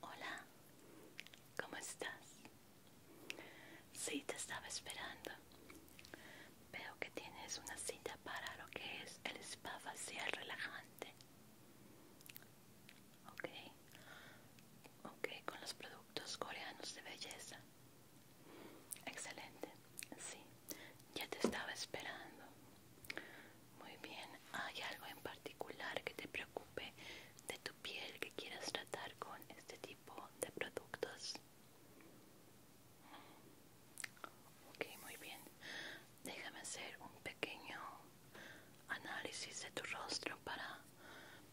Hola, ¿cómo estás? Sí, te estaba esperando. Veo que tienes una cita para lo que es el spa facial relajante. Ok, ok, con los productos coreanos de belleza. Excelente, sí ya te estaba esperando. Muy bien, ¿hay algo en particular que te preocupe de tu piel que quieras tratar con este tipo de productos? Ok, muy bien. Déjame hacer un pequeño análisis de tu rostro para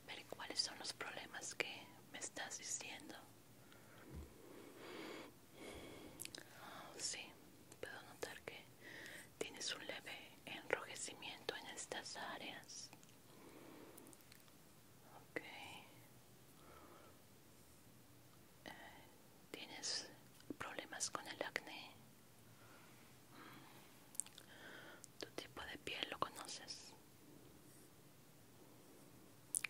ver cuáles son los problemas que me estás diciendo. Oh, sí, puedo notar que tienes un leve enrojecimiento en estas áreas. Ok. Eh, ¿Tienes problemas con el acné? Mm. ¿Tu tipo de piel lo conoces?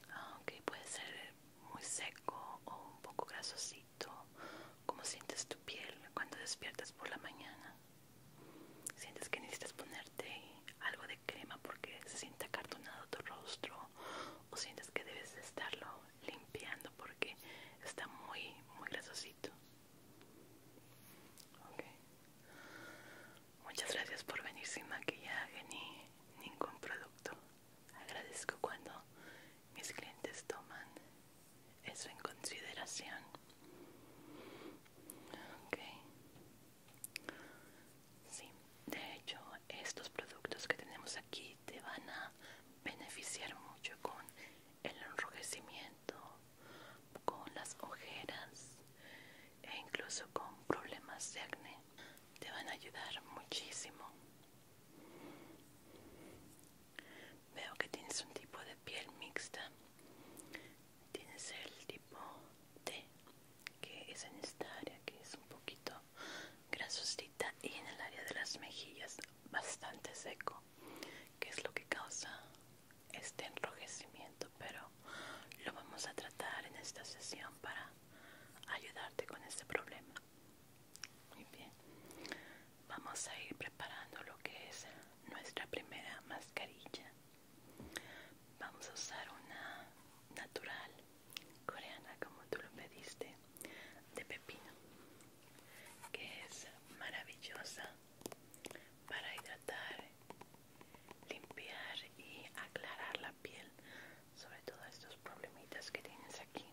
Ah, ok, puede ser muy seco o un poco grasosito? ¿Cómo sientes tu piel cuando despiertas por la mañana? ¿Sientes que necesitas ponerte algo de crema porque se siente acartonado tu rostro? ¿O sientes que debes estarlo limpiando porque está muy, muy grasosito? Muchas gracias por venir sin maquillaje ni ningún producto. Agradezco cuando mis clientes toman eso en consideración. Sí, de hecho, estos productos que tenemos aquí te van a beneficiar mucho con el enrojecimiento, con las ojeras e incluso con problemas de acné. Te van a ayudar muchísimo. Veo que tienes un tipo de piel mixta. Tienes el tipo T, que es en esta área, que es un poquito grasosita, y en el área de las mejillas, bastante seco, que es lo que causa este enrojecimiento. Pero lo vamos a tratar en esta sesión para ayudarte con este problema. Muy bien. Vamos a ir preparando lo que es nuestra primera mascarilla. Vamos a usar una natural coreana como tú lo pediste de pepino que es maravillosa para hidratar limpiar y aclarar la piel sobre todo estos problemitas que tienes aquí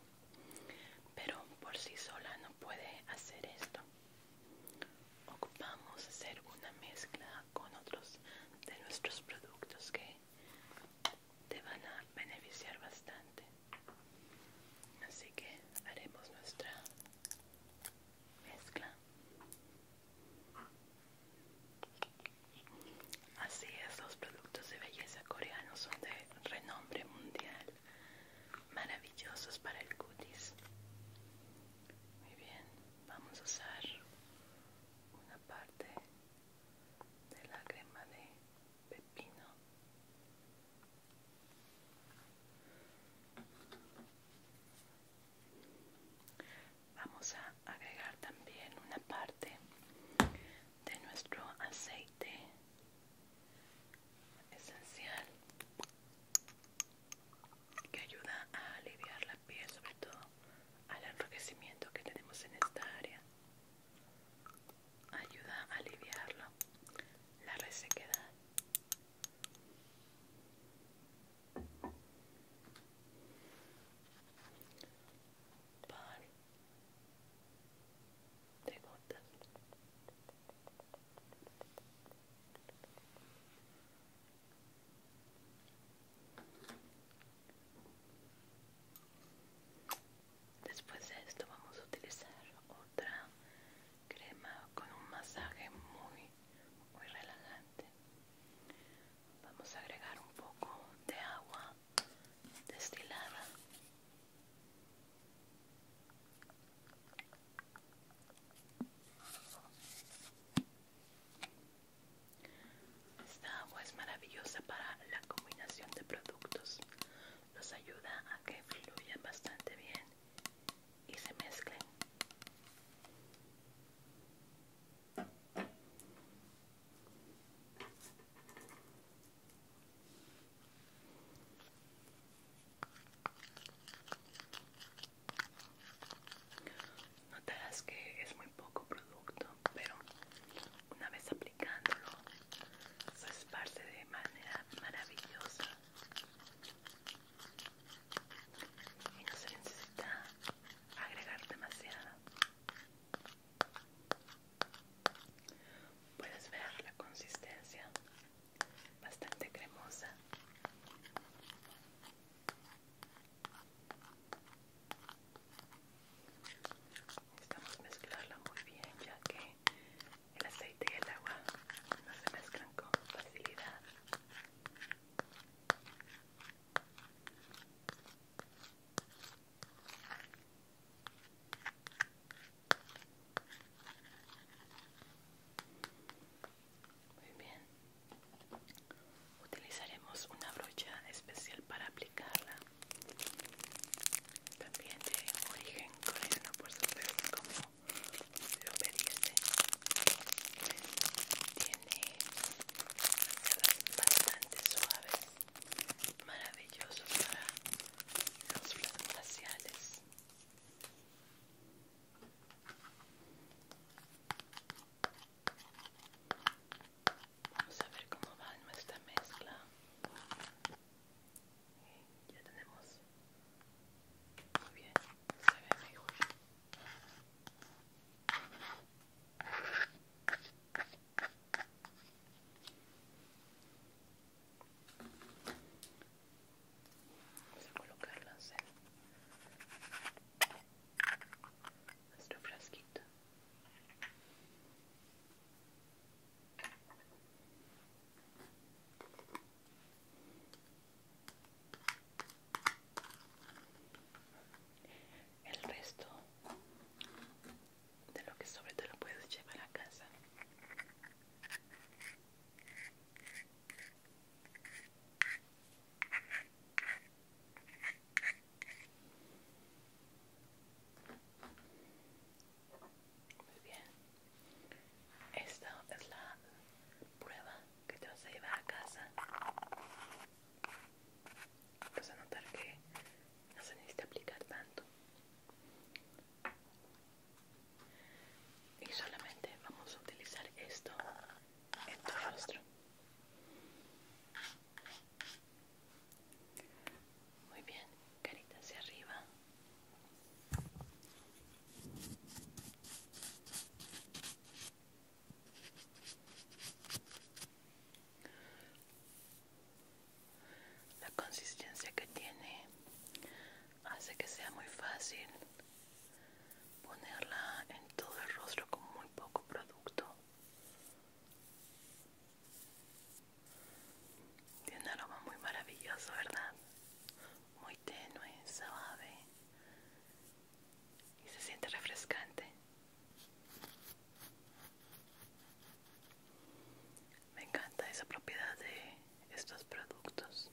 pero por sí sola no puede hacer esto ocupamos hacer una mezcla con otros de nuestros productos que te van a beneficiar bastante así que haremos nuestra mezcla Así es, los productos de belleza coreanos son de renombre mundial, maravillosos para el cutis. Muy bien, vamos a usar una parte de la crema de pepino. Vamos a agregar también una parte de nuestro aceite esencial que ayuda a aliviar la piel, sobre todo al enrojecimiento que tenemos en esta área. Ayuda a aliviarlo, la resequedad de gotas después de esto vamos a utilizar otra crema con un masaje muy muy relajante vamos a agregar un poco de agua esta agua es maravillosa para la combinación de productos nos ayuda a que fluyan bastante bien y se mezclen Notarás que es muy poco producto, pero una vez aplicándolo se esparce de manera maravillosa y no se necesita agregar demasiado. Puedes ver la consistencia bastante cremosa. Necesitamos mezclarla muy bien ya que el aceite y el agua no se mezclan con facilidad. Muy bien. Utilizaremos una brocha especial para aplicarla. También de origen coreano, por supuesto, como lo pediste. Tiene bastante suaves maravilloso para los glaciales Vamos a ver cómo va nuestra mezcla. ya tenemos. Muy bien, se ve mejor. Vamos a colocarlas en nuestro frasquito. El resto de lo que sobre te lo puedes llevar a casa. Muy bien, esta es la prueba que te vas a llevar a casa vas a notar que no se necesita aplicar tanto y solamente vamos a utilizar esto en tu rostro muy bien carita hacia arriba la consistencia que tiene hace que sea muy fácil ponerla en todo el rostro con muy poco producto. Tiene un aroma muy maravilloso, ¿verdad? Muy tenue, suave y se siente refrescante. Me encanta esa propiedad de estos productos.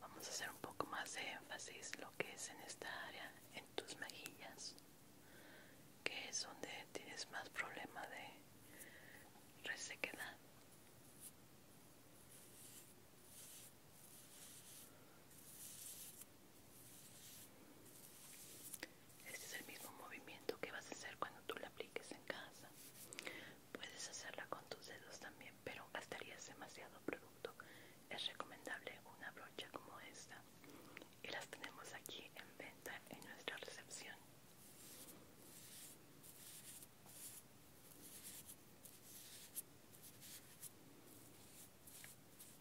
Vamos a hacer un poco más de énfasis lo que es en esta área, en tus mejillas, que es donde tienes más problema de resequedad. Este es el mismo movimiento que vas a hacer cuando tú la apliques en casa. Puedes hacerla con tus dedos también, pero gastarías demasiado producto. Es recomendable una brocha como esta. Y las tenemos aquí en venta en nuestra recepción.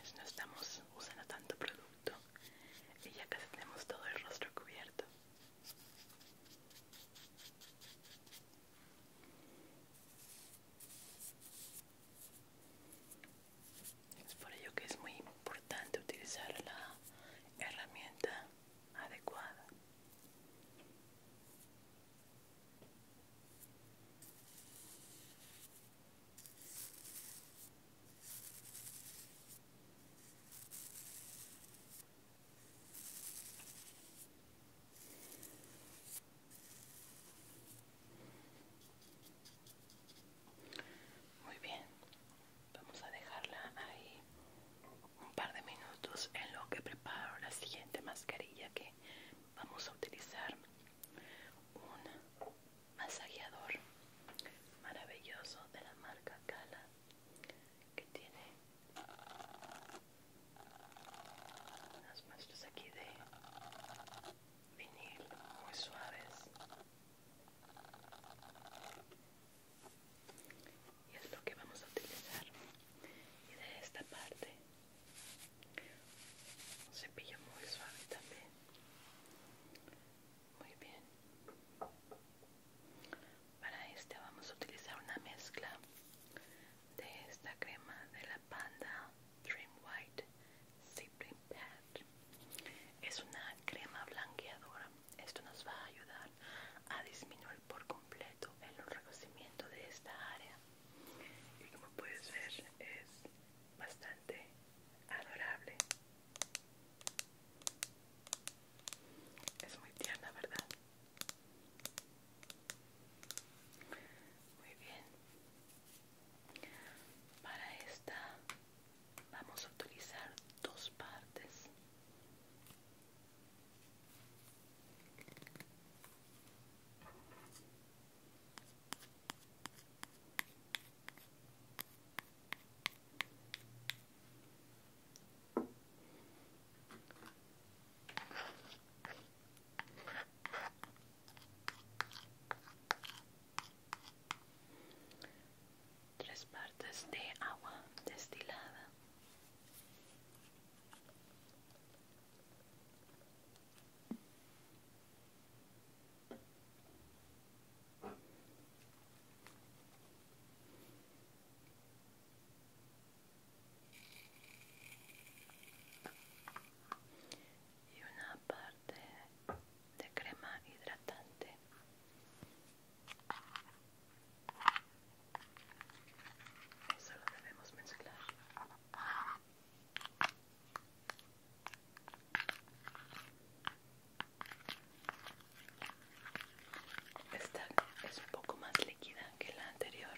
Pues no estamos usando tanto producto y ya casi tenemos todo el rostro cubierto. Es por ello que es muy importante utilizar la herramienta adecuada. Muy bien, vamos a dejarla ahí un par de minutos en lo que preparo la siguiente mascarilla que vamos a utilizar. Una, masajeador maravilloso de la marca Cala que tiene unas muestras aquí de vinil muy suaves y es lo que vamos a utilizar y de esta parte un cepillo muy suave también. Muy bien. Para este vamos a utilizar una mezcla de esta crema de la Panda Dream White Sleeping Pad. Es una crema blanqueadora. Esto nos va a ayudar a disminuir por completo el enrojecimiento de esta área. Y como puedes ver es bastante adorable. Es muy tierna, ¿verdad? Muy bien. Para esta vamos a utilizar dos partes. Tres partes de agua destilada y una parte de crema hidratante Solo lo debemos mezclar esta es un poco más líquida que la anterior.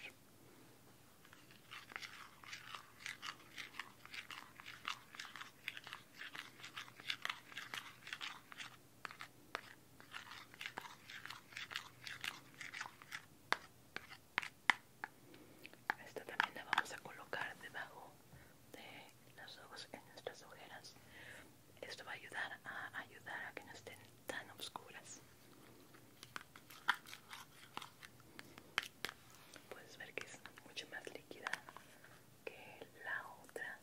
Esta también la vamos a colocar debajo de los ojos en nuestras ojeras. Esto va a ayudar a ayudar a que no estén tan oscuras. Puedes ver que es mucho más líquida que la otra.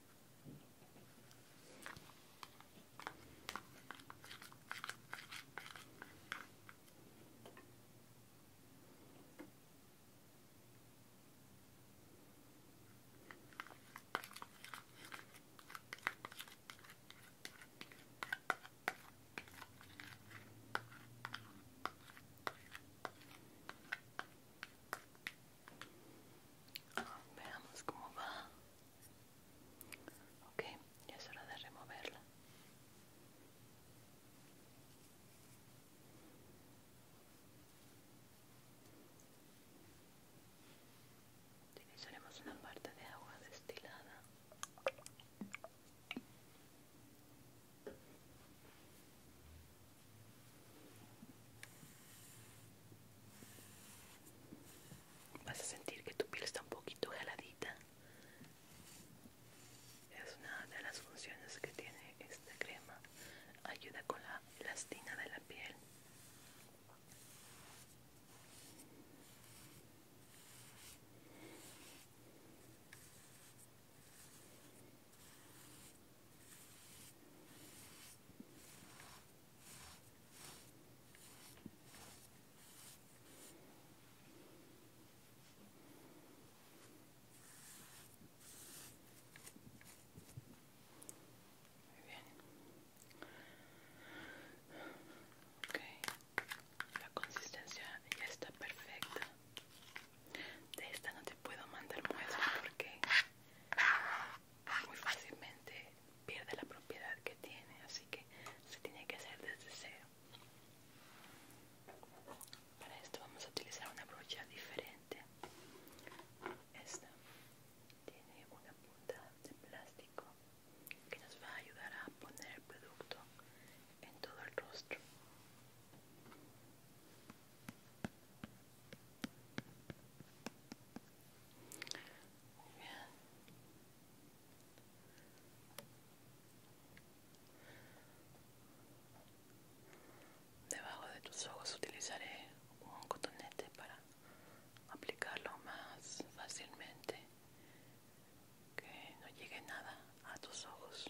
Veamos cómo va. okay ya es hora de removerla. Utilizaremos una parte de agua destilada. Vas a sentir que tu piel está un poquito geladita es una de las funciones que tiene esta crema ayuda con la elastina de la piel muy bien. Ok La consistencia ya está perfecta. De esta no te puedo mandar muestra porque muy fácilmente pierde la propiedad que tiene, así que se tiene que hacer desde cero. Para esto vamos a utilizar una brocha diferente. Esta tiene una punta de plástico que nos va a ayudar a poner el producto en todo el rostro. Debajo de tus ojos utilizaré un cotonete para aplicarlo más fácilmente, que no llegue nada a tus ojos.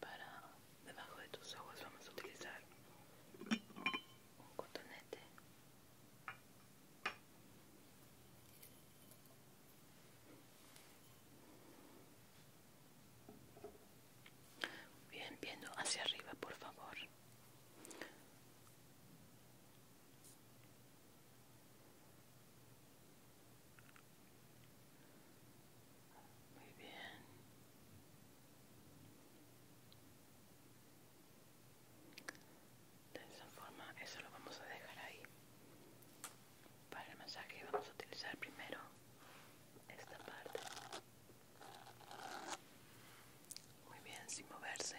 para debajo de tus ojos vamos a utilizar un cotonete bien viendo hacia arriba por favor muy bien. De esa forma, eso lo vamos a dejar ahí. Para el masaje vamos a utilizar primero esta parte. Muy bien, sin moverse.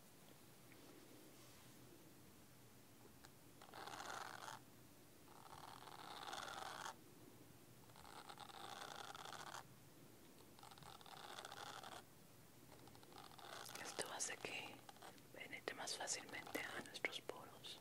Esto hace que penetre más fácilmente a nuestros poros.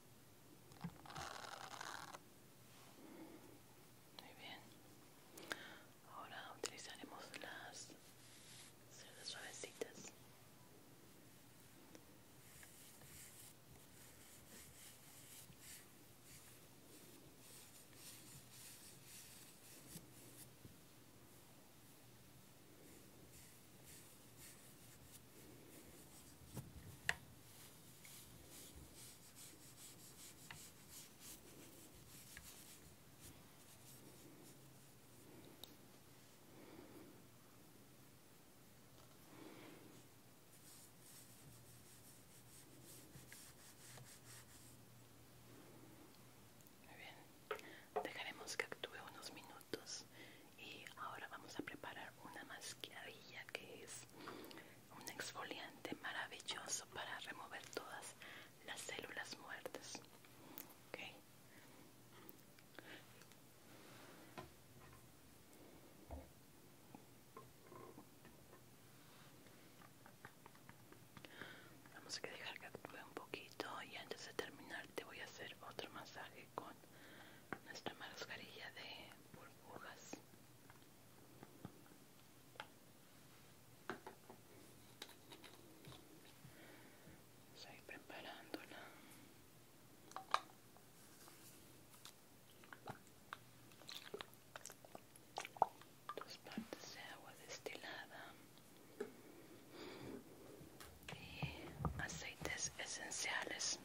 Muy bien. Ahora utilizaremos las cerdas suavecitas. Muy bien, dejaremos que actúe unos minutos y ahora vamos a preparar una máscara que es un exfoliante maravilloso para remover todas las células muertas. Vamos a dejar que actúe un poquito y antes de terminar te voy a hacer otro masaje con nuestra mascarilla de burbujas. Estoy preparándola. Dos partes de agua destilada y aceites esenciales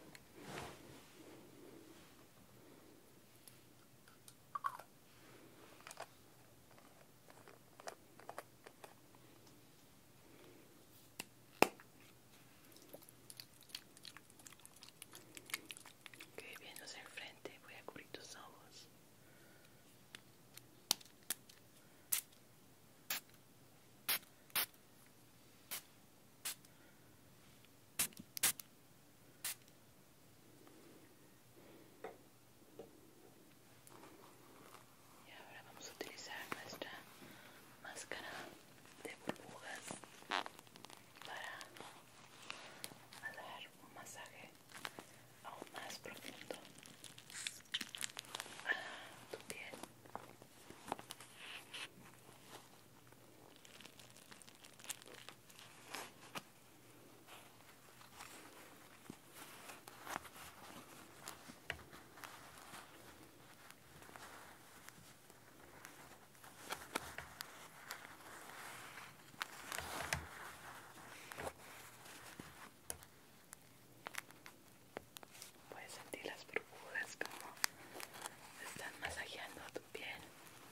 que viéndose hacia el frente, voy a cubrir tus ojos. Y ahora vamos a utilizar nuestra máscara de burbujas para dar un masaje aún más profundo a tu piel. Puedes sentir las burbujas como están masajeando tu piel.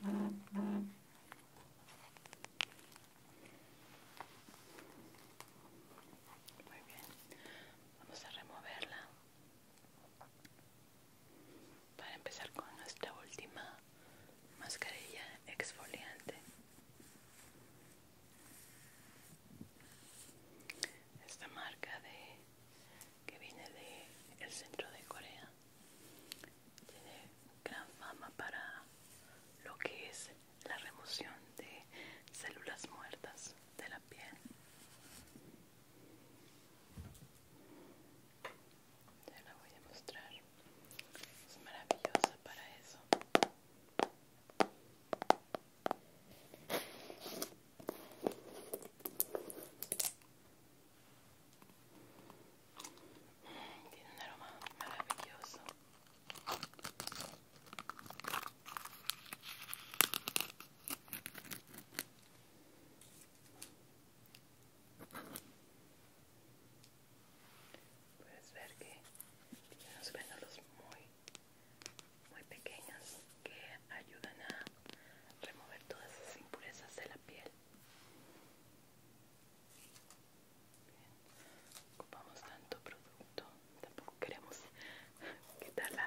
Muy bien, vamos a removerla para empezar con nuestra última mascarilla exfoliante. Esta marca de que viene de el centro de Corea tiene gran fama para lo que es la remoción de células muertas de la piel. Ya la voy a mostrar. Es maravillosa para eso tiene un aroma maravilloso. Puedes ver que tiene unos muy, muy pequeños que ayudan a remover todas esas impurezas de la piel. Ocupamos tanto producto, tampoco queremos quitar la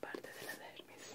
parte de la dermis.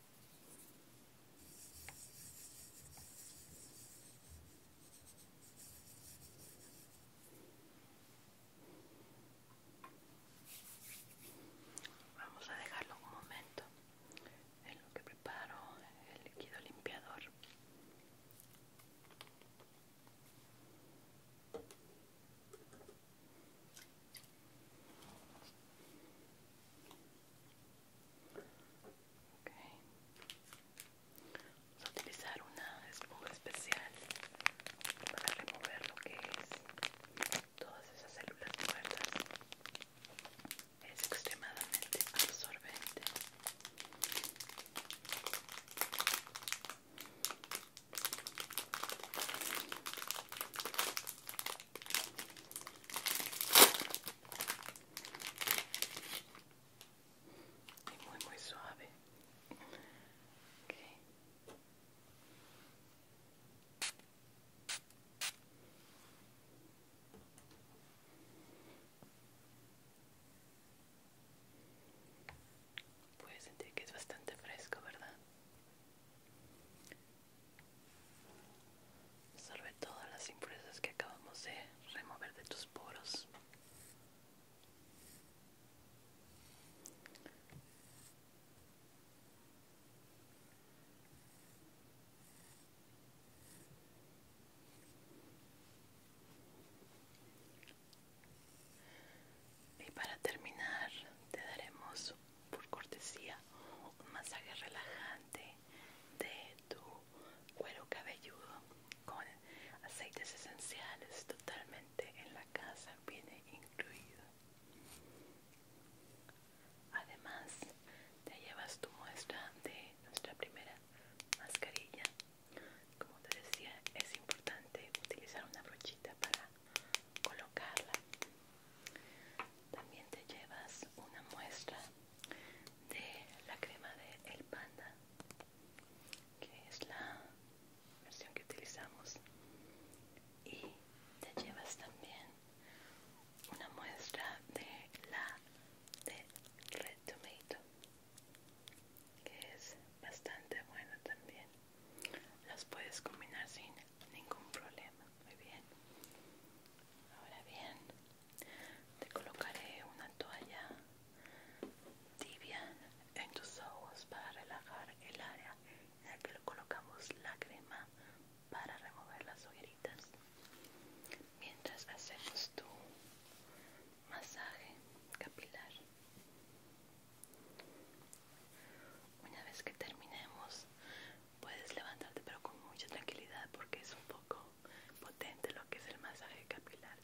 Vamos a dejarlo un momento en lo que preparo el líquido limpiador. Vamos a utilizar una esponja especial para remover lo que es todas esas células muertas. Es extremadamente absorbente muy muy suave Puedes sentir que es bastante fresco, ¿verdad? Sobre todas las impurezas que acabamos de remover de tus poros. Y para terminar, te daremos por cortesía un masaje relajante de tu cuero cabelludo con aceites esenciales totalmente en la casa viene incluido además te llevas tu muestra de nuestra primera mascarilla como te decía es importante utilizar una brochita para colocarla también te llevas una muestra de la crema de El Panda, que es la versión que utilizamos. Y te llevas también una muestra de la de Red Tomato, que es bastante buena también. Las puedes combinar sin ningún problema. Muy bien. Ahora bien, te colocaré una toalla tibia en tus ojos para relajar el área en la que lo colocamos la crema para remover las hogueritas. Mientras hacemos tu masaje capilar. Una vez que terminemos, puedes levantarte pero con mucha tranquilidad porque es un poco potente lo que es el masaje capilar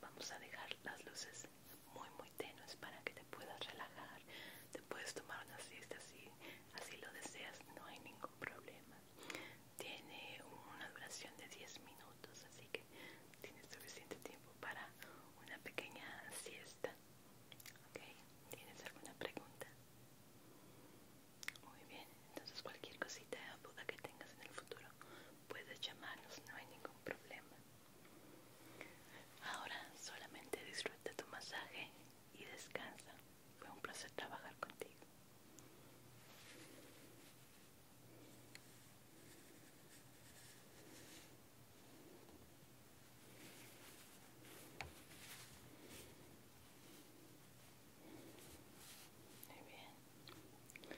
vamos a dejar las luces muy muy tenues para que te puedas relajar te puedes tomar una siesta si así lo deseas no hay ningún problema tiene una duración de 10 minutos así que tienes suficiente tiempo para una pequeña siesta tienes alguna pregunta muy bien, entonces cualquier cosita o duda que tengas en el futuro puedes llamarnos, no hay ningún problema. Ahora solamente disfruta tu masaje y descansa. Fue un placer trabajar contigo. Muy bien.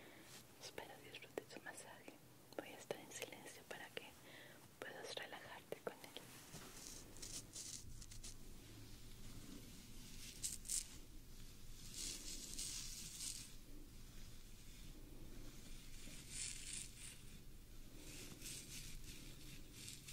Espero disfrutes tu masaje. Voy a estar en silencio para que puedas relajarte con él.